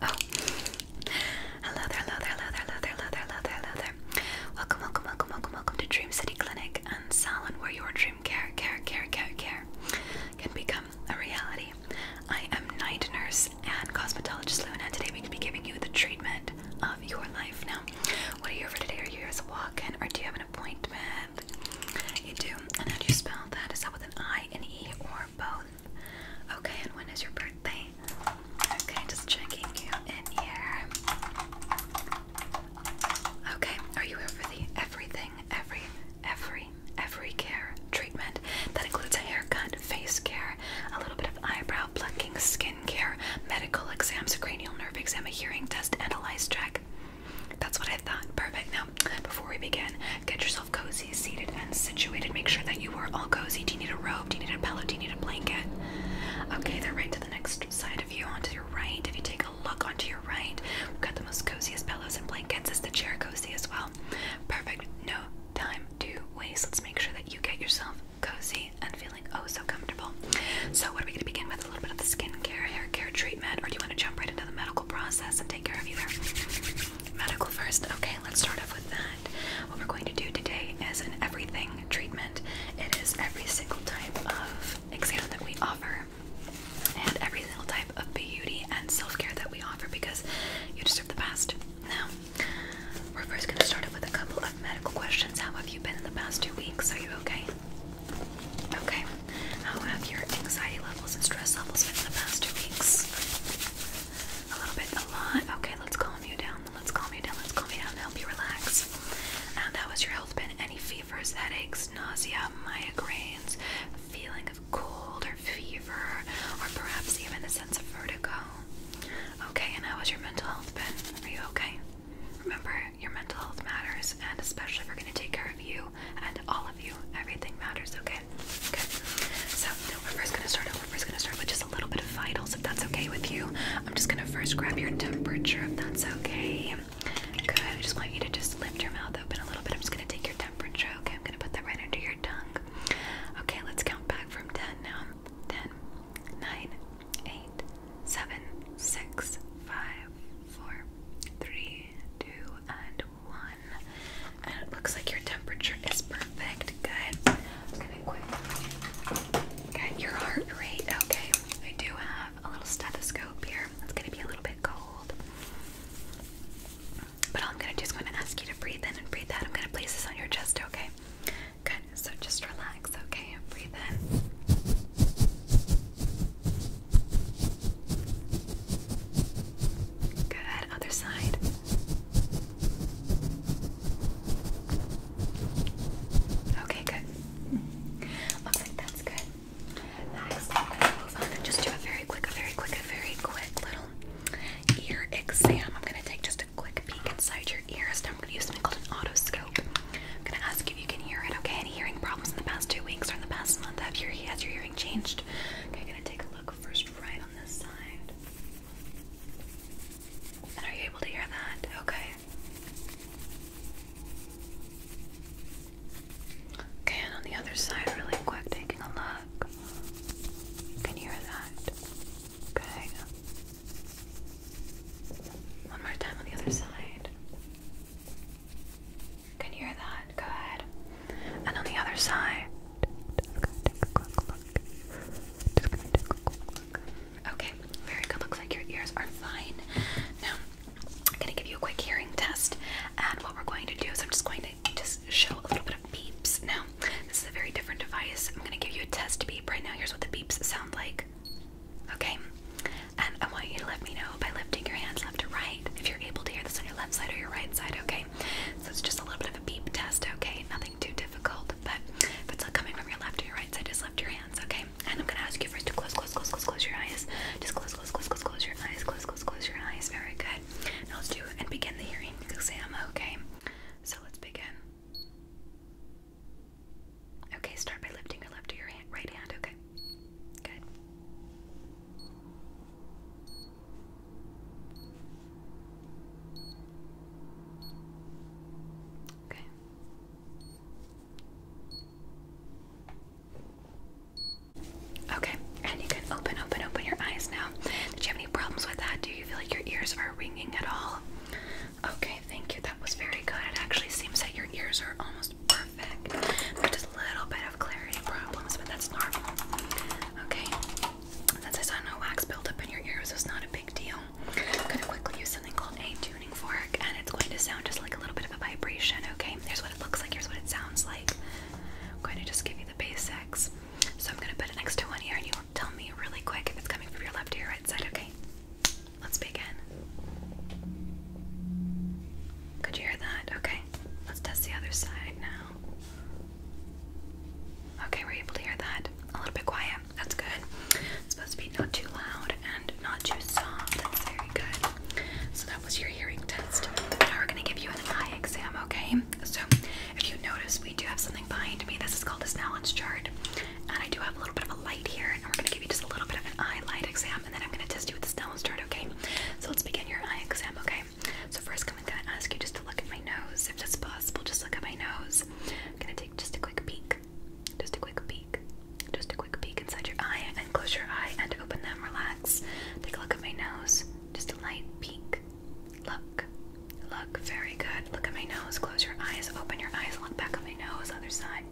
Oh, hello there, hello there, hello there, hello there, hello there, hello there, Welcome, welcome, welcome, welcome, welcome to Dream City Clinic and Salon, where your dream care, care, care, care, care can become a reality. I am night nurse and cosmetologist Luna. and today we can be giving you the treatment of your life. Now, what are you here for today? Are you here as a walk-in, or do you have an appointment? You do. And how do you spell that? Is that with an I, and E, or both? Okay, and when is your birthday? Okay, just checking you in here. Okay, are you here for the everything, every, every, every care treatment? That includes a haircut, face care, a little bit of eyebrow plucking, skin care, medical exams, a cranial nerve exam, a hearing test, and a lice check. That's what I thought. Perfect. Now, before we begin, get yourself cozy, seated, and situated. Make sure that you are all cozy. Do you need a robe? Do you need a pillow? Do you need a blanket? Okay, they're right to the next side of you, onto your right. If you take a look onto your right, we've got the most coziest pillows and blankets. as the chair cozy as well? Perfect. No time to waste. Let's make sure that you get yourself cozy and feeling oh so comfortable. So, what are we going to begin with? A little bit of the skincare, hair care treatment, or do you want to jump right into the medical? medical process and take care of you Medical first. Okay, let's start off with that. What we're going to do today is an everything treatment. It is every single type of exam that we offer and every single type of beauty and self-care that we offer because you deserve the best. Now, we're first going to start off with a couple of medical questions. How have you been in the past two weeks? Are you okay? Okay. How have your anxiety levels and stress levels been the past two weeks? A little bit, a lot. Okay, let's calm you down. Let's calm you down. Let's calm you down help you relax. how has your health been? Any fevers, headaches, nausea, migraines, feeling of cold or fever, or perhaps even a sense of vertigo? Okay, and how has your mental health been? Are you okay? Remember, your mental health matters, and especially if we're going to take care of you, and all of you. Everything matters, okay? Okay. So we're first gonna start We're first gonna start with just a little bit of vitals, if that's okay with you. I'm just gonna first grab your temperature, if that's okay. Good. I just want you to just lift your mouth open a little bit. I'm just gonna take your temperature, okay? I'm gonna put that right under your tongue. Okay, let's count back from 10 now. 10, and 1 it looks like your temperature is perfect. Good. I'm gonna quick your heart rate. Okay, I do have a little stethoscope here. It's gonna be a little bit cold. But I'm gonna just is to ask you to breathe in and breathe out. I'm gonna place this on your chest, okay? Good. So just relax, okay? Breathe in. Good, other side. Okay, good. Looks like that's good. Next, I'm gonna move on and just do a very quick, a very quick, a very quick little ear exam. I'm gonna take just a quick peek inside your ears. Now I'm gonna use something called an otoscope. I'm gonna ask if you can hear it, okay? Any hearing problems in the past two weeks or in the past month? Have your has your hearing changed? Okay, I'm gonna take a look first right on this side. are you able to hear that? Okay. Okay, and on the other side, really quick, taking a look. can hear that. Okay. One more time on the other side. Can you hear that? Good. And on the other side. Okay, very good. Looks like your ears are fine. Now, I'm going to give you a quick hearing test. And what we're going to do is I'm just going to just show a little bit of beeps. Now, this is a very different device. I'm going to give you a test beep right now. Here's what the beeps sound like. Okay? And I want you to let me know by lifting your hands left to right if you're able to hear this on your left side or your right side, okay? So it's just a little bit of a beep test, okay? Nothing too difficult, but if it's coming from your left or your right side, just lift your hands, okay? And I'm gonna ask you first to close, close, close, close, close your eyes. Just close, close, close, close, close your eyes, close, close, close your eyes. Very good. Now let's do and begin the hearing exam, okay? So let's begin. Okay, start by lifting your left or your right hand, okay? Good. Okay. Okay, and you can open, open, open your eyes now. Did you have any problems with that? Do you feel like your ears are ringing at all? Okay, thank you. That was very good. It actually seems that your ears are almost perfect. There's a little bit of clarity problems, but that's normal. Okay, since I saw no wax buildup in your ears, it's not a big deal. I'm gonna quickly use something called a tuning fork, and it's going to sound just like a little bit of a vibration. Okay, here's what it looks like. Here's what it sounds like. I'm going to just give you the basics. So I'm gonna put it next to one ear, and you tell me really quick if it's coming from your left ear right side. Okay, let's begin. Could you hear that? Okay, let's test the other side now. Okay, we able to hear that. A little bit quiet. That's good. supposed to be not too loud and not too soft. That's very good. So that was your hearing test. Now we're gonna give you an eye exam, okay? So if you notice, we do have something behind me. This is called a Snellens chart. And I do have a little bit of a light here, and we're gonna give you just a little bit of an eye light exam, and then I'm gonna test you with the Snellens chart, okay? So let's begin your eye exam, okay? So first, I'm gonna ask you just to look at my nose, if that's possible. Just look at my nose. I'm gonna take just a quick peek, just a quick peek, just a quick peek inside your eye, and close your eye and open them. Relax. Take a look at my nose. Just a light peek. Look, look. Very good. Look at my nose. Close your eyes. Open your eyes. Look back at my nose. Other side.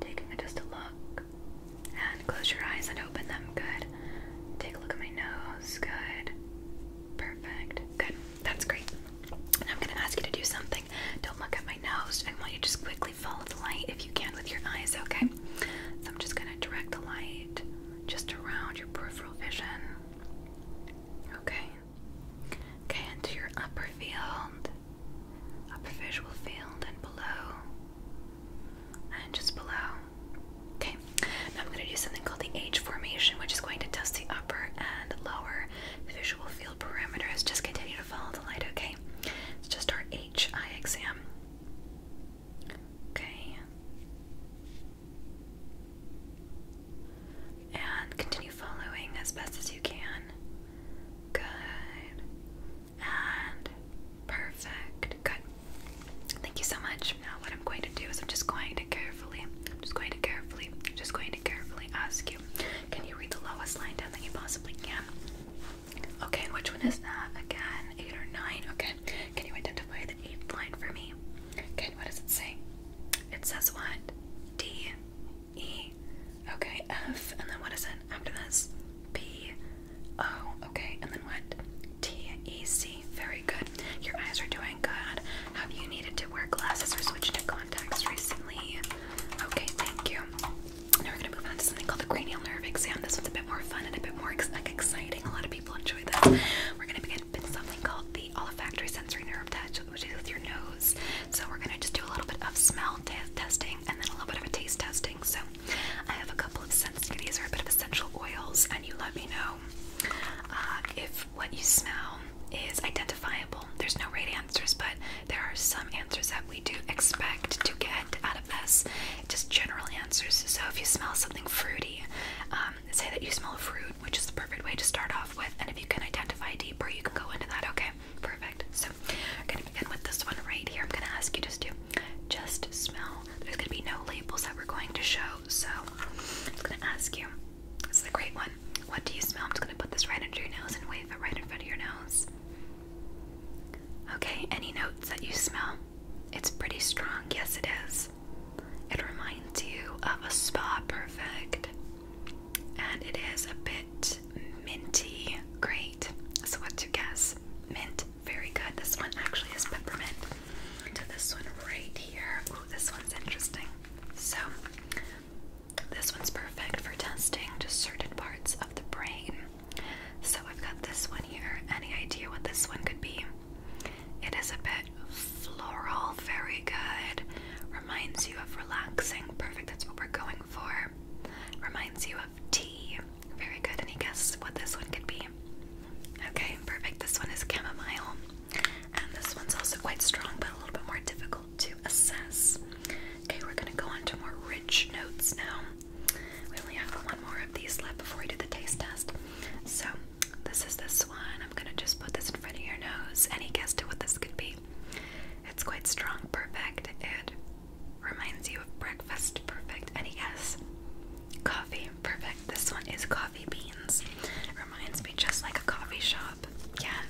Taking just a look. And close your eyes and open them. Good. Take a look at my nose. Good. Perfect. Good. That's great. And I'm going to ask you to do something. Don't look at my nose. I want you to just quickly follow the light if you can with your eyes, okay? So I'm just going to direct the light just around your peripheral vision. Okay. Okay, into your upper field, upper visual field, and below. And just below. Okay, now I'm going to do something called the H formation, which is going to test the upper and lower visual field parameters. Just continue to follow the light, okay? It's just our H exam. Okay. And continue following as best as you can. Good. And perfect. Good. Thank you so much. Now what I'm going to do is I'm just going to carefully, I'm just going to carefully, just going to carefully ask you, can you read the lowest line down that you possibly can? Okay, and which one is that? Again, eight or nine. Okay. Can you identify the eighth line for me? Okay, what does it say? It says what? D E. Okay, F. And then what is it after this? B O Okay, and then what? T E C. Very good. Your eyes are doing good. Have you needed to wear glasses or switch to contacts recently? Okay, thank you. Now we're gonna move on to something called the cranial nerve exam. This one's a bit more fun and a bit more exciting. A lot of people enjoy this. We're gonna begin with something called the olfactory sensory nerve test, which is with your nose. So we're gonna just do a little bit of smell testing and then a little bit of a taste testing. So I have a couple of scents. These are a bit of essential oils, and you let me know uh, if what you smell is identifiable, there's no right answers, but there are some answers that we do expect to get out of this, just general answers. So if you smell something fruity, um, say that you smell fruit, which is the perfect way to start off with, and if you can identify deeper, you can go into that, okay? Perfect. So I'm gonna begin with this one right here. I'm gonna ask you just to just smell. There's gonna be no labels that we're going to show. So I'm gonna ask you. This is a great one. What do you smell? I'm just gonna put this right under your nose and wave it right in front of your nose. Okay, any notes that you smell? It's pretty strong. Yes, it is. It reminds you of a spa perfect. And it is a bit minty. Great. So, what do you guess? Mint? Very good. This one actually is peppermint. To this one right here. Ooh, this one's interesting. So, this one's perfect for testing just certain parts of the brain. So, I've got this one here. Any idea what this one could be? It is a bit floral. Very good. Reminds you of relaxing. Perfect. That's what we're going for. Reminds you of tea. Very good. Any guesses what this one could be? Okay, perfect. This one is chamomile, and this one's also quite strong but a little bit more difficult to assess. Okay, we're gonna go on to more rich notes now. We only have one more of these left before we do the taste test. So, this is this one. I'm gonna just put this in front of your nose. Any guess to what this could be? It's quite strong, perfect. It reminds you of breakfast, perfect. Any guess? Coffee. Perfect. This one is coffee beans. It reminds me just like a coffee shop. Yeah.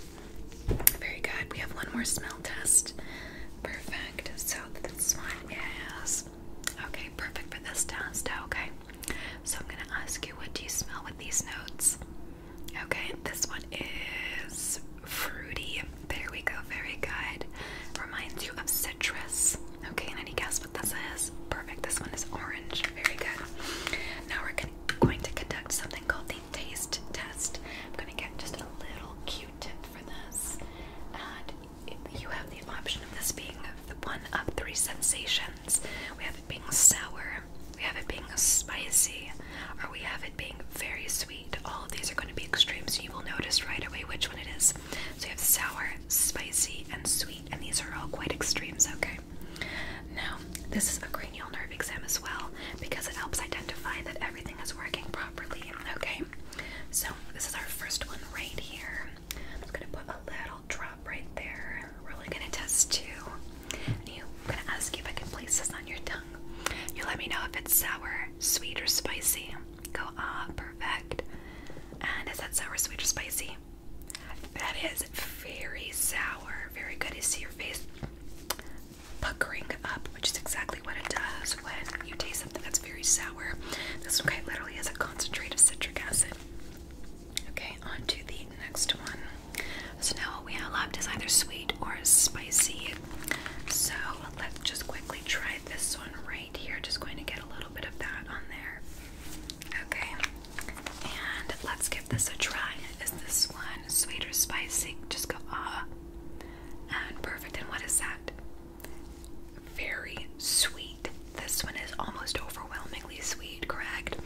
Very good. We have one more smell test. Perfect. So this one is okay. Perfect for this test. Okay. So I'm gonna ask you, what do you smell with these notes? Okay. This one is fruity. There we go. Very good. Reminds you of a dress. Okay, any guess what this is? Perfect. This one is orange. Very good. Now we're gonna, conduct something called the taste test. I'm going to get just a little Q-tip for this, and you have the option of this being the one of three sensations. We have it being sour, we have it being spicy, or we have it being very sweet. All of these are going to be extreme, so you will notice right away which one it is. So you have sour, spicy, and sweet, and these are all quite extremes, okay? Now, this is a cranial nerve exam as well because it helps identify that everything is working properly, okay? So, this is our first one right here. I'm gonna put a little drop right there. We're only gonna test two. And you, I'm gonna ask you if I can place this on your tongue. You let me know if it's sour, sweet, or spicy. Go ah, perfect. And is that sour, sweet, or spicy? That is very sour. Very good. You see your face puckering up, which is exactly what it does when you taste something that's very sour. This one literally has a concentrate of citric acid. Okay, on to the next one. So now what we have left is either sweet or spicy. So let's just quickly try this one right here. Just going to get a little bit of that on there. Okay, and let's give this a try. Is this one sweet or spicy? Just go ah. And perfect. And what is that? Very sweet. This one is almost overwhelmingly sweet, correct?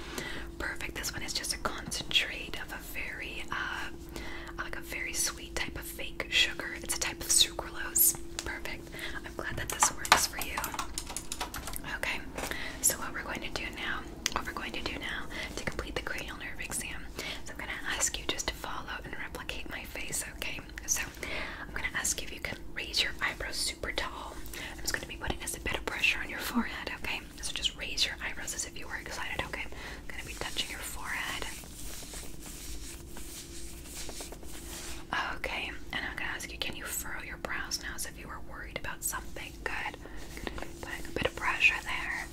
Perfect. This one is just a concentrate of a very uh like a very sweet type of fake sugar. It's a type of sucralose. Perfect. I'm glad that this works for you. Okay, so what we're going to do now, what we're going to do now to complete the cranial nerve exam, so I'm going to ask you just to follow and replicate my face, okay? So I'm going to ask you if you can raise your eyebrows super tall. I'm just going to be putting a bit of pressure on your forehead, okay? So just raise your eyebrows as if you were excited, okay? I'm going to be touching your forehead. Okay, and I'm gonna ask you, can you furrow your brows now, so if you were worried about something, good. Putting a bit of pressure there.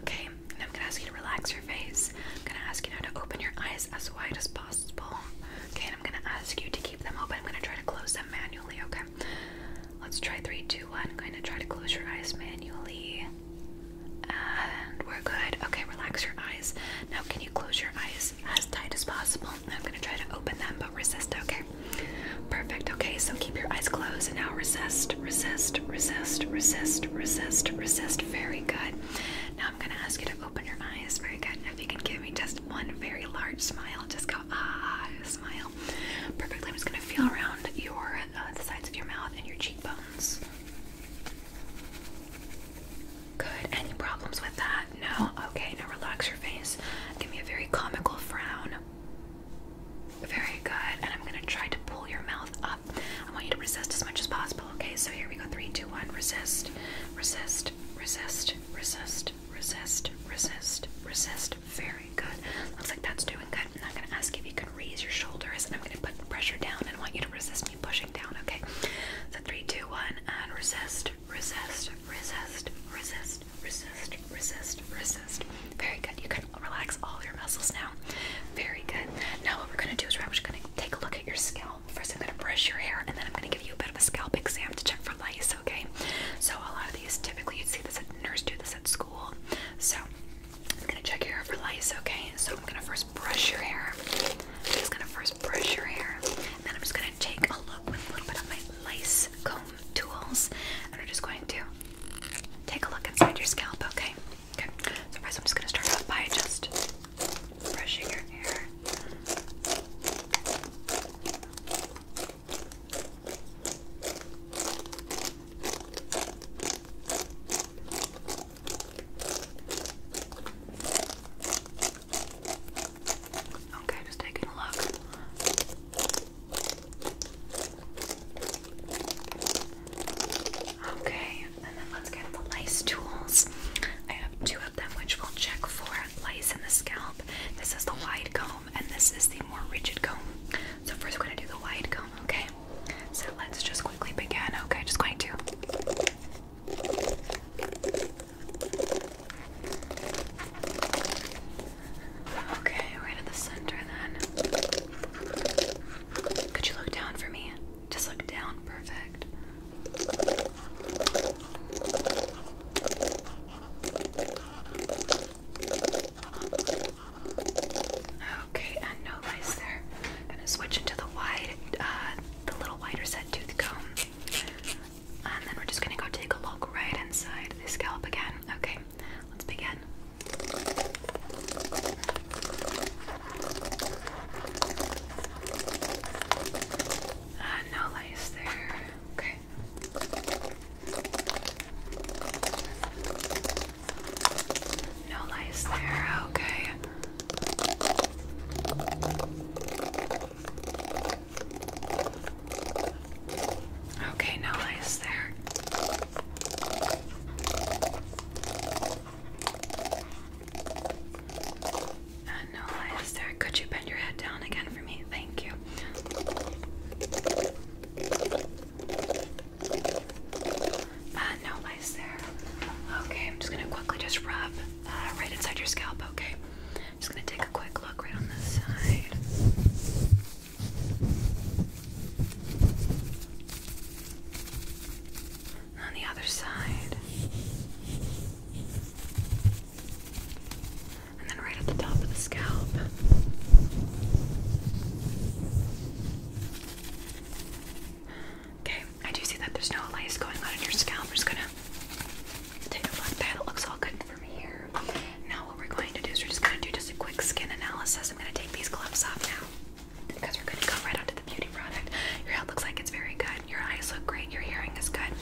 Okay, I'm gonna ask you to relax your face. I'm gonna ask you now to open your eyes as wide as possible. Okay, and I'm gonna ask you to keep them open. I'm gonna try to close them manually, okay? Let's try three, two, one. I'm going to try to close your eyes manually. And we're good. Okay, relax your eyes. Now, can you close your eyes as tight as possible? I'm going to try to open them, but resist, okay? Perfect, okay, so keep your eyes closed and now resist, resist, resist, resist, resist, resist. Very good. Now, I'm going to ask you to open your eyes. Very good. If you can give me just one very large smile, just go, ah, smile. Perfect. I'm just going to feel around your, uh, the sides of your mouth and your cheekbones. Good. Any problems with that? No? Okay, now relax your face. Give me a very comical frown. Very good. And I'm going to try to pull your mouth up. I want you to resist as much as possible. Okay, so here we go. Three, two, one. Resist, resist, resist, resist, resist, resist, resist. Very good. Looks like that's doing good. I'm not going to ask if you can raise your shoulders, and I'm going to put pressure down and I want you to resist me pushing down, okay? three, two, one, and resist, resist, resist, resist, resist, resist, resist. Very good. You can relax all your muscles now. Very good. Now what we're gonna do is we're actually gonna take a look at your scalp. First, I'm gonna brush your hair, and then I'm gonna give you a bit of a scalp exam to check for lice. Okay? So a lot of these, typically, you'd see this at nurse do this at school. So I'm gonna check your hair for lice. Okay? So I'm gonna first brush your hair. I'm just gonna first brush your hair, then I'm just gonna take a look with a little bit of my lace comb tools, and I'm just going to take a look inside your scalp, okay? Okay, so first I'm just gonna start off by just brushing your hair. Okay, just taking a look. Okay, and then let's get the lice tools. I have two of them which will check for lice in the scalp. This is the wide comb and this is the more rigid comb. So first we're gonna do the wide comb, okay? So let's just quickly begin. Okay, just going to Okay, right at the center then. Could you look down for me? Just look down, perfect. Okay, and no lice there gonna switch into the wide, uh, the little wider set tooth comb, and then we're just gonna go take a look right inside the scalp again. Okay, let's begin. Uh, no lice there. Okay. No lice there. Okay. Okay, now I is there. Uh, no light there. Could you bend your head down again for me? Thank you. Uh, no lies there. Okay, I'm just gonna quickly just rub uh, right inside your scalp, okay? I'm just gonna take a quick look right on this side. on the other side. And then right at the top of the scalp. Okay, I do see that there's no lice going on in your scalp. We're just gonna take a look That looks all good from here. Now what we're going to do is we're just gonna do just a quick skin analysis. I'm gonna take these gloves off now because we're gonna go right onto the beauty product. Your head looks like it's very good. Your eyes look great. Your hearing is good.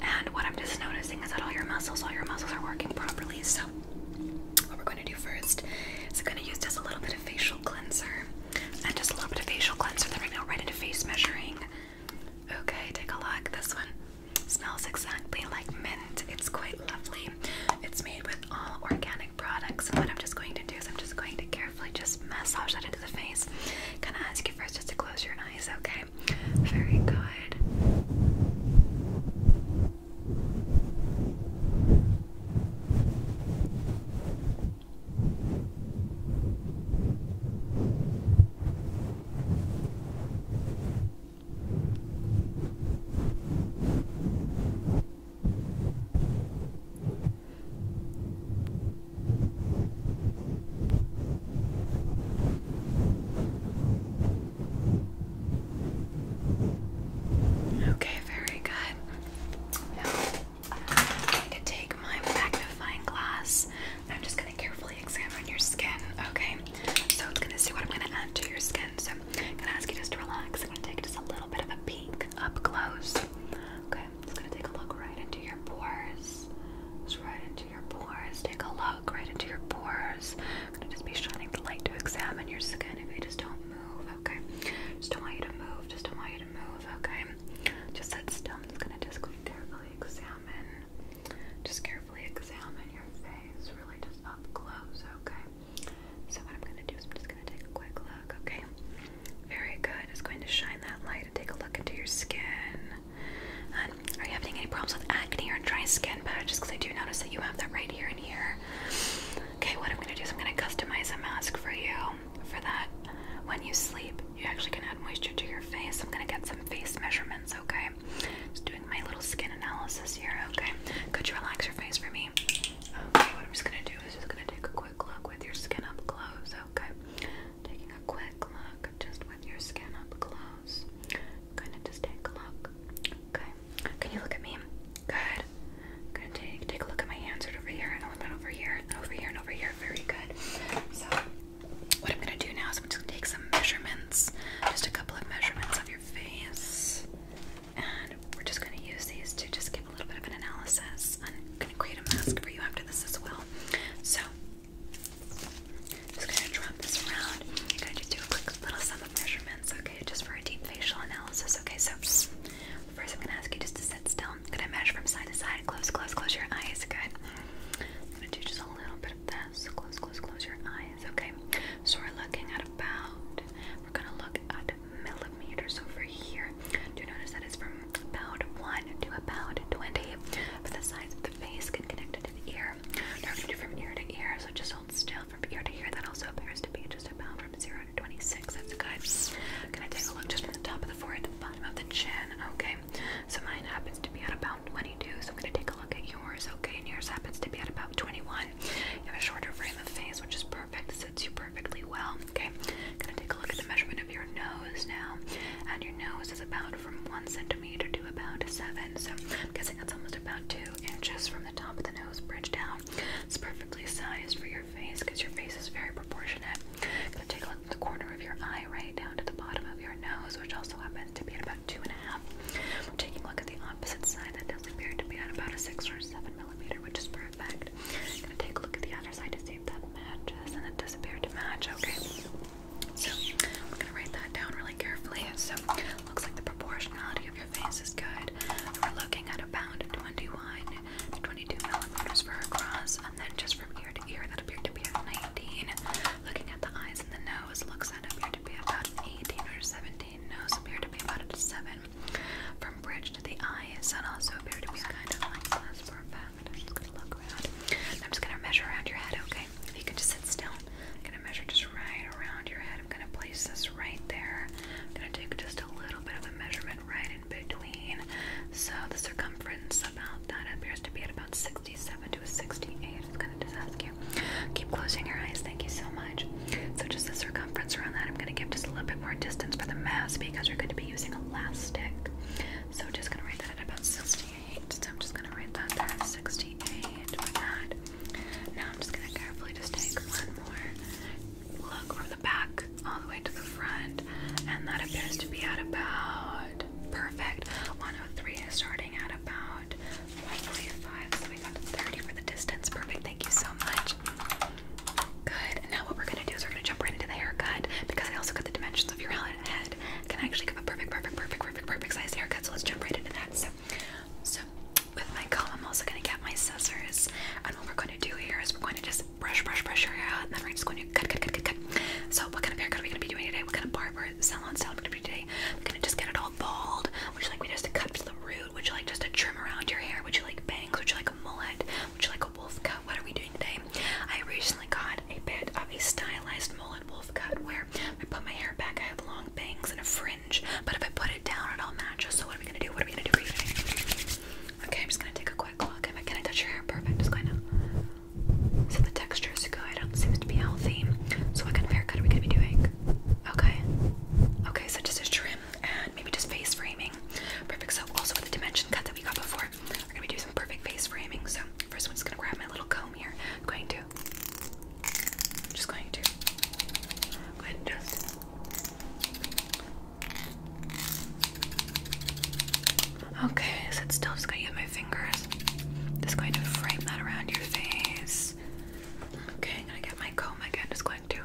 And what I'm just noticing is that all your muscles, all your muscles are working properly. So what we're gonna do first is we're gonna use just a little bit of facial cleanser and just a little bit of facial cleanser. Then we're going right into face measuring. Okay, take a look. This one smells exactly like mint. It's quite lovely. It's made with all organic products. And what I'm just going to do is I'm just going to carefully just massage that into the face. Gonna ask you first just to close your eyes, okay? Very good. Okay, very good. Now I'm going to take my magnifying glass I'm just going to carefully examine your skin, okay? So it's going to see what I'm going to add to your skin. So I'm going to ask you just to relax. I'm going to take just a little bit of a peek up close. Okay, i just going to take a look right into your pores. Just right into your pores. Take a look right into your pores. I'm going to just be shining the light to examine your skin if you just don't move, okay? Just don't want you to move. Just don't want you to move, okay? Just sit still. i just going to just go carefully examine, just carefully examine your face, really just up close, okay? So what I'm gonna do is I'm just gonna take a quick look, okay? Very good. It's going to shine that light and take a look into your skin. Um, are you having any problems with acne or dry skin patches? Because I do notice that you have that right here and here. Okay, what I'm gonna do is I'm gonna customize a mask for you for that. When you sleep, you actually can add moisture to your face. I'm gonna get some face measurements, okay? Just doing my little skin analysis here, okay? Could you relax your face for me? Okay, what I'm just gonna do is just gonna take a quick look with your skin up close, okay? Taking a quick look just with your skin up close. Kinda just take a look. Okay. Can you look at me? Good. I'm gonna take take a look at my hands right over here and over here and over here and over here. Very good. So what I'm gonna do now is I'm just gonna take some measurements, just a couple of measurements of your face, and we're just gonna use these to just give a little bit of an analysis. I'm gonna create a mask for you after this as well. So, just gonna drop this around. I'm gonna just do a quick little sum of measurements, okay, just for a deep facial analysis. Okay, so first I'm gonna ask you just to sit still gonna measure from side to side. Close, close, close your eyes. Good. gonna do just a little bit of this. Close, close, close your eyes. Okay. So we're looking at about. We're gonna look at millimeters over here. Do you notice that it's from about one to about twenty? But the sides of the face can connect it to the ear. We're gonna do from ear to ear. So just hold still from ear to ear. That also appears to be just about from zero to twenty-six. That's good. I'm gonna take a look just from the top of the forehead to the bottom of the chin. Okay. So mine happens to be at about 22, so I'm going to take a look at yours, okay? And yours happens to be at about 21. You have a shorter frame of face, which is perfect, fits you perfectly well, okay? I'm going to take a look at the measurement of your nose now. And your nose is about from 1 centimeter to about 7, so I'm guessing that's almost about 2 inches from the top of the nose bridge down. It's perfectly sized for your face because your face is very proportionate. going to take a look the corner of your eye right down to the bottom of your nose, which also happens to be at about two and a half. We're taking a look at the opposite side. That does appear to be at about a six or seven millimeter, which is perfect. I'm gonna take a look at the other side to see if that matches, and it does appear to match. Okay. So we're gonna write that down really carefully. So looks like the proportionality of your face is good. We're looking at about 21 to 22 millimeters for across, and then just from ear to ear, that appeared to be at 19. Looking at the eyes and the nose, looks that appeared to be about 18 or 17. Nose appeared to be about 7. From bridge to the eyes, that also appeared to be kind of like glass for a fact. I'm just gonna measure around your head, okay? If you can just sit still. I'm gonna measure just right around your head. I'm gonna place this right there. I'm gonna take just a little bit of a measurement right in between. So the circumference about that appears to be at about six. 67 to a 68. It's gonna just ask you. Keep closing your eyes. Thank you so much. So just the circumference around that, I'm gonna give just a little bit more distance for the mass because we are going to be using elastic. So just gonna write that at about 68. So I'm just gonna write that there 68 for that. Now I'm just gonna carefully just take one more look from the back all the way to the front, and that appears to be at about Perfect, 103 is starting at about 145, so we got 30 for the distance. Perfect, thank you so much. Good, now what we're gonna do is we're gonna jump right into the haircut because I also got the dimensions of your head. I actually give a perfect, perfect, perfect, perfect, perfect size haircut, so let's jump right into that. So, so with my comb, I'm also gonna get my scissors, and what we're gonna do here is we're going to just brush, brush, brush your hair out, and then we're just going to so, what kind of haircut are we gonna be doing today? What kind of barber salon style are we going today? i gonna just get it all bald. Would you like me just to cut to the root? Would you like just a trim around your hair? Would you like bangs? Would you like a mullet? Would you like a wolf cut? What are we doing today? I recently got a bit of a stylized mullet wolf cut where I put my hair back. I have long bangs and a fringe, but if I put it down, it all matches. So, what are we gonna do? What are we gonna do today? Okay, I'm just gonna take a quick look. Can I touch your hair? Perfect. Just going to so the texture is good. It seems to be healthy. So what kind of haircut are we gonna be doing? Okay. Okay, so just a trim and maybe just face framing. Perfect. So also with the dimension cut that we got before, we're gonna be doing some perfect face framing. So first I'm just gonna grab my little comb here. I'm going to just going to go ahead and just Okay, sit still. Just gonna use my fingers. Just going to frame that around your face. Okay, I'm gonna get my comb again. Just going to.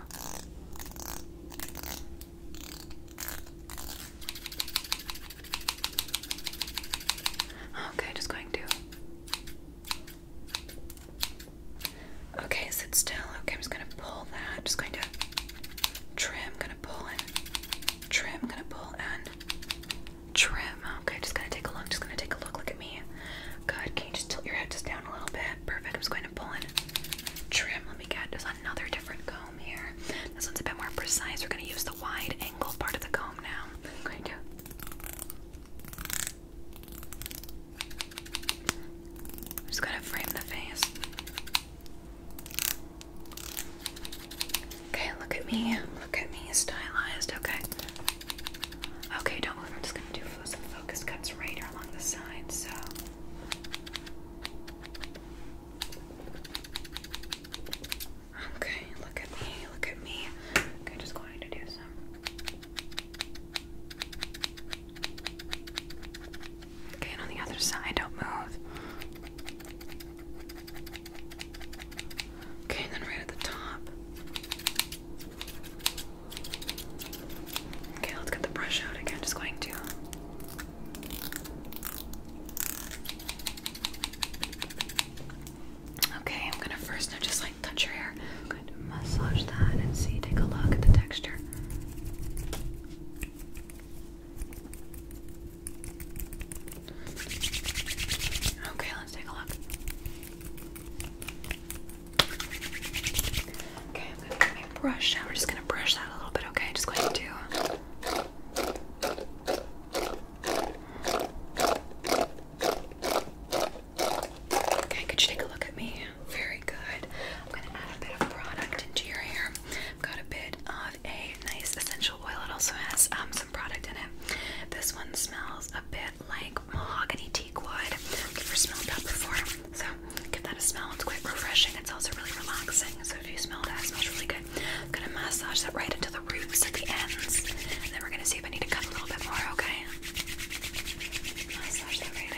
Okay, just going to. Okay, sit still. Okay, I'm just gonna pull that. Just going to trim, gonna pull and trim, gonna pull and trim. Okay, just gonna take a look. Just gonna take a look. Look at me. Good. Can you just tilt your head just down a little bit? Perfect. I'm just going to pull in trim. Let me get just another different comb here. This one's a bit more precise. We're gonna use the wide angle part of the comb now. I'm going to. I'm just gonna frame the face. Okay, look at me. Look at me, stylized. Okay. Okay, don't move. I'm just gonna do some focus cuts right along the side. So. Okay, look at me. Look at me. Okay, just going to do some. Okay, on the other side, don't move. Okay, and then right at the top. Okay, let's get the brush out again. Just going to. Uh, okay, I'm gonna first now just like touch your hair. I'm going to massage that and see, take a look at the texture. Okay, let's take a look. Okay, I'm gonna get my brush out. We're just gonna brush that a little bit, okay? Just going to do. Okay, could you take a look at me? Very good. I'm gonna add a bit of product into your hair. I've got a bit of a nice essential oil. It also has um, product in it. This one smells a bit like mahogany teak wood. never smelled that before, so give that a smell. It's quite refreshing. It's also really relaxing. So if you smell that, it smells really good. gonna massage that right into the roots at the ends, and then we're gonna see if I need to cut a little bit more. Okay. Massage that right in.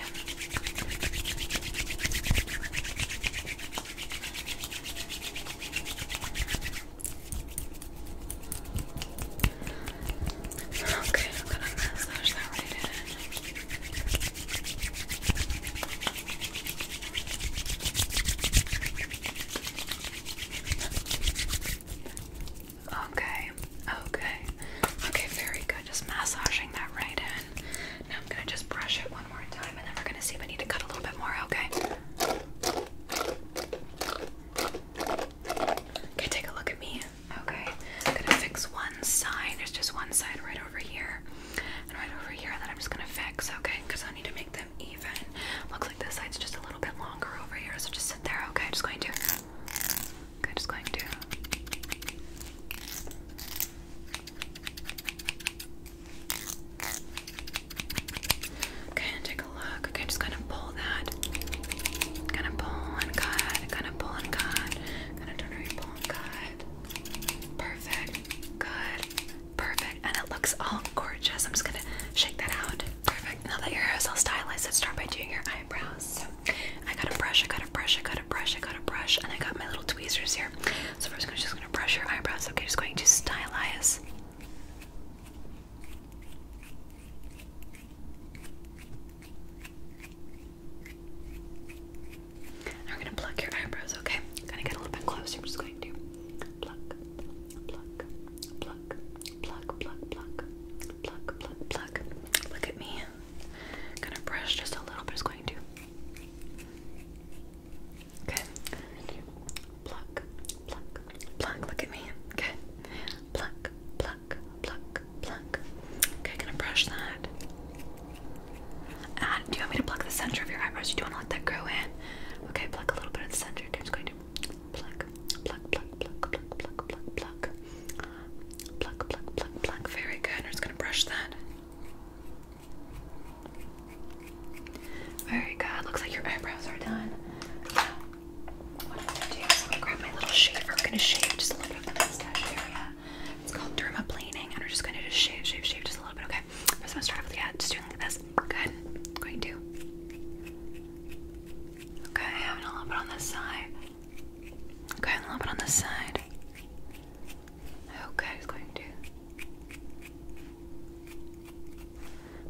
Okay, I'm gonna massage that right in. Okay, okay, okay, very good. Just massaging that right in. Now I'm gonna just brush it one more time and then we're gonna see if I need to cut a little bit more, okay? Okay, take a look at me. Okay, I'm gonna fix one side. There's just one side right over here and right over here that I'm just gonna fix, okay? Because I need to make them even. Looks like this side's just a little bit longer over here, so just sit there, okay? Just going to. Okay, just going to. Okay, and take a look. Okay, just gonna pull that. Kind of pull and cut. Kind of pull and cut. Kind of turn around, pull and cut. Perfect. Good. Perfect. And it looks all gorgeous. I'm just gonna shake that out. Perfect. Now that your hair is all stylized, let's start by doing your eyebrows. I got a brush. I got a brush. I got a brush. I got a brush, and I got my little tweezers here. So first, I'm just gonna brush your eyebrows. Okay, just going to stylize. Now we gonna pluck your eyebrows, okay? I'm gonna get a little bit closer. I'm just going to pluck, pluck, pluck, pluck, pluck, pluck, pluck, pluck, pluck. Look at me. gonna brush just a little, but it's going to. Okay pluck, pluck, pluck. Look at me. Good. Pluck, pluck, pluck, pluck. Okay, gonna brush that. And ah, do you want me to pluck the center of your eyebrows? You do want to let that grow in. Okay, pluck a little bit at the center. Okay, I'm just going to pluck, pluck, pluck, pluck, pluck, pluck, pluck, pluck. Pluck, pluck, pluck, pluck. Very good. I'm just gonna brush that. All right, God. Looks like your eyebrows are done. what I'm gonna do grab my little shaver. I'm gonna shave just a little bit of the mustache area. It's called dermaplaning, and we're just gonna just shave, shave, shave just a little bit. Okay. i I'm gonna start off with just doing like this. Good. going to. Okay, and a little bit on this side. Okay, a little bit on this side. Okay, going to.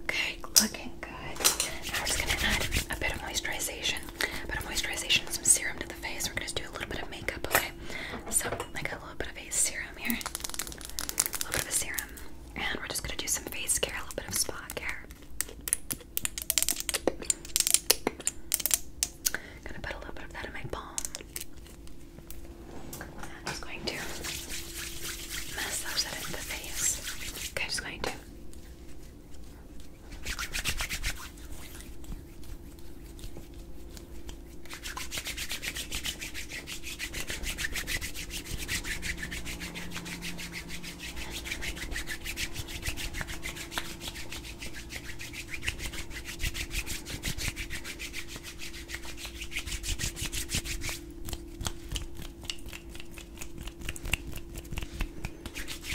Okay, looking good. I'm just gonna add a bit of moisturization, a bit of moisturization, some serum to the face. We're gonna do a little bit of makeup, okay? So I got a little bit of a serum here, a little bit of a serum, and we're just gonna do some face care, a little bit of spot care. Gonna put a little bit of that in my palm. I'm just going to massage that in the face. Okay, I'm just going to.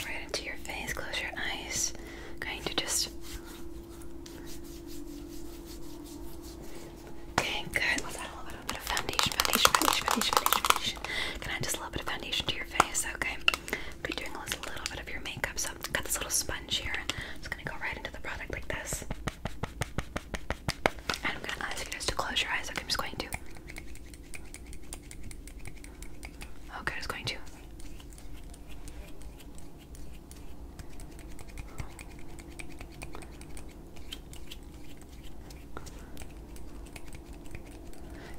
Right into your face, close your eyes. I'm going to just. Okay, good. Let's add a little bit of foundation, foundation, foundation, foundation, foundation. Can I just a little bit of foundation to your face? Okay. Be doing a little bit of your makeup. So I've got this little sponge here. I'm just gonna go right into the product like this. I'm gonna ask you guys to close your eyes. Okay, I'm just going to. Okay, I'm going to.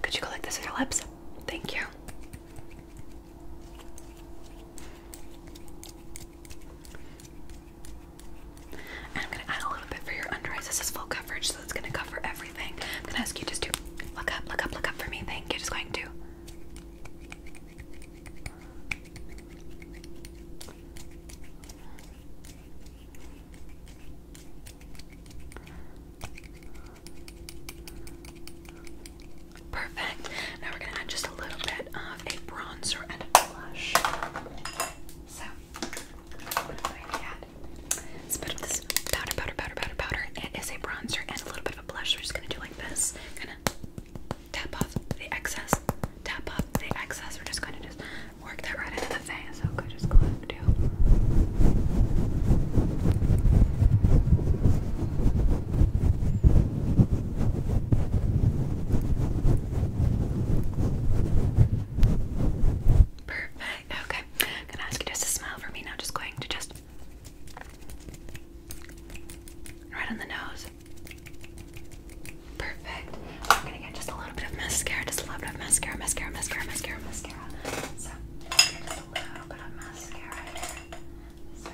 Could you go like this with your lips? Thank you. I'm gonna add a little bit for your under eyes. This is full coverage, so it's gonna cover everything. I'm gonna ask you just to look up, look up, look up for me. Thank you. Just going to. Perfect. Now we're gonna add just a little bit of a bronzer and a blush. So it's a powder, powder, powder, powder, powder. It is a bronzer and a little bit of a blush. We're just gonna do like this, kind of tap off the excess, tap off the excess. We're just gonna just work that right into the face. Okay, just go ahead and do. Perfect. Okay. I'm gonna ask you just to smile for me now. Just going to just right on the nose. Perfect. I'm gonna get just a little bit of mascara, just a little bit of mascara, mascara, mascara, mascara, mascara. So just a little bit of mascara here. So.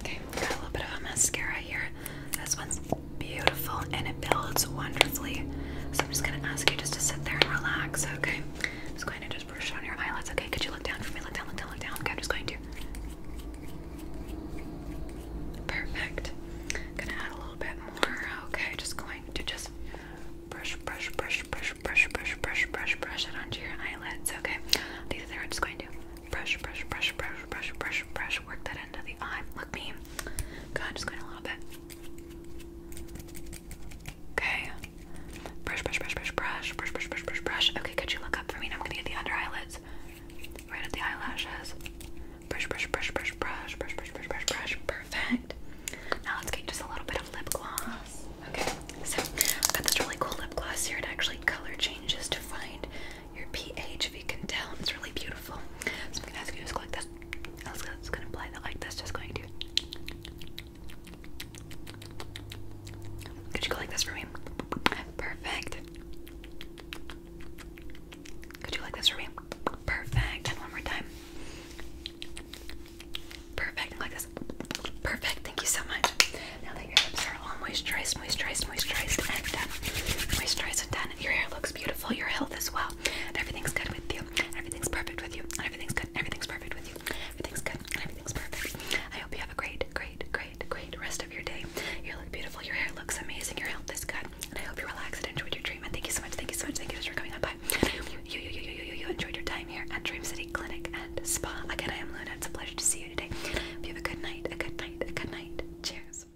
Okay, got a little bit of a mascara here. This one's beautiful and it builds wonderfully. So I'm just gonna ask you just to sit there and relax, okay? I'm just going to just brush on your eyelids, okay? Could you look down for me? Look down, look down, look down. Okay, I'm just going to. Perfect. Gonna add a little bit more. Okay, just going to just brush, brush, brush, brush, brush, brush, brush, brush, brush it onto your eyelids. Okay. These are I'm just going to brush, brush, brush, brush, brush, brush, brush, brush. Work that into the eye. Look me. God, just going a little bit. Okay. Brush, brush, brush, brush, brush, brush, brush, brush, brush, brush. Okay, could you look up for me? Now I'm gonna get the under eyelids. Right at the eyelashes. Brush, brush, brush, brush, brush, brush, brush, brush, brush, brush. Perfect. Now let's get just a little bit of lip gloss. Okay, so I've got this really cool lip gloss here. It actually color changes to find your pH, if you can tell. It's really beautiful. So I'm gonna ask you to go like this. I'm just gonna apply that like this, just going to. Could you go like this for me? Perfect. Could you like this for me? Perfect. And one more time. Perfect. like this. Perfect. Thank you so much. Now that your lips are all moisturized, moisturized, moisturized and done. Moisturized and done. Your hair looks beautiful. Your health as well. And everything's good with you. Everything's perfect with you. Everything's good. Everything's perfect with you. Everything's good. Everything's perfect. I hope you have a great, great, great, great rest of your day. You look beautiful. Your hair looks amazing. Your health is good. And I hope you relaxed and enjoyed your treatment. Thank you so much. Thank you so much. Thank you for coming on by. You, you, you, you, you, you enjoyed your time here at Dream City Clinic and Spa. Again, I am Luna. It's a pleasure to see you today. have a good night. A good night. A good night. Cheers.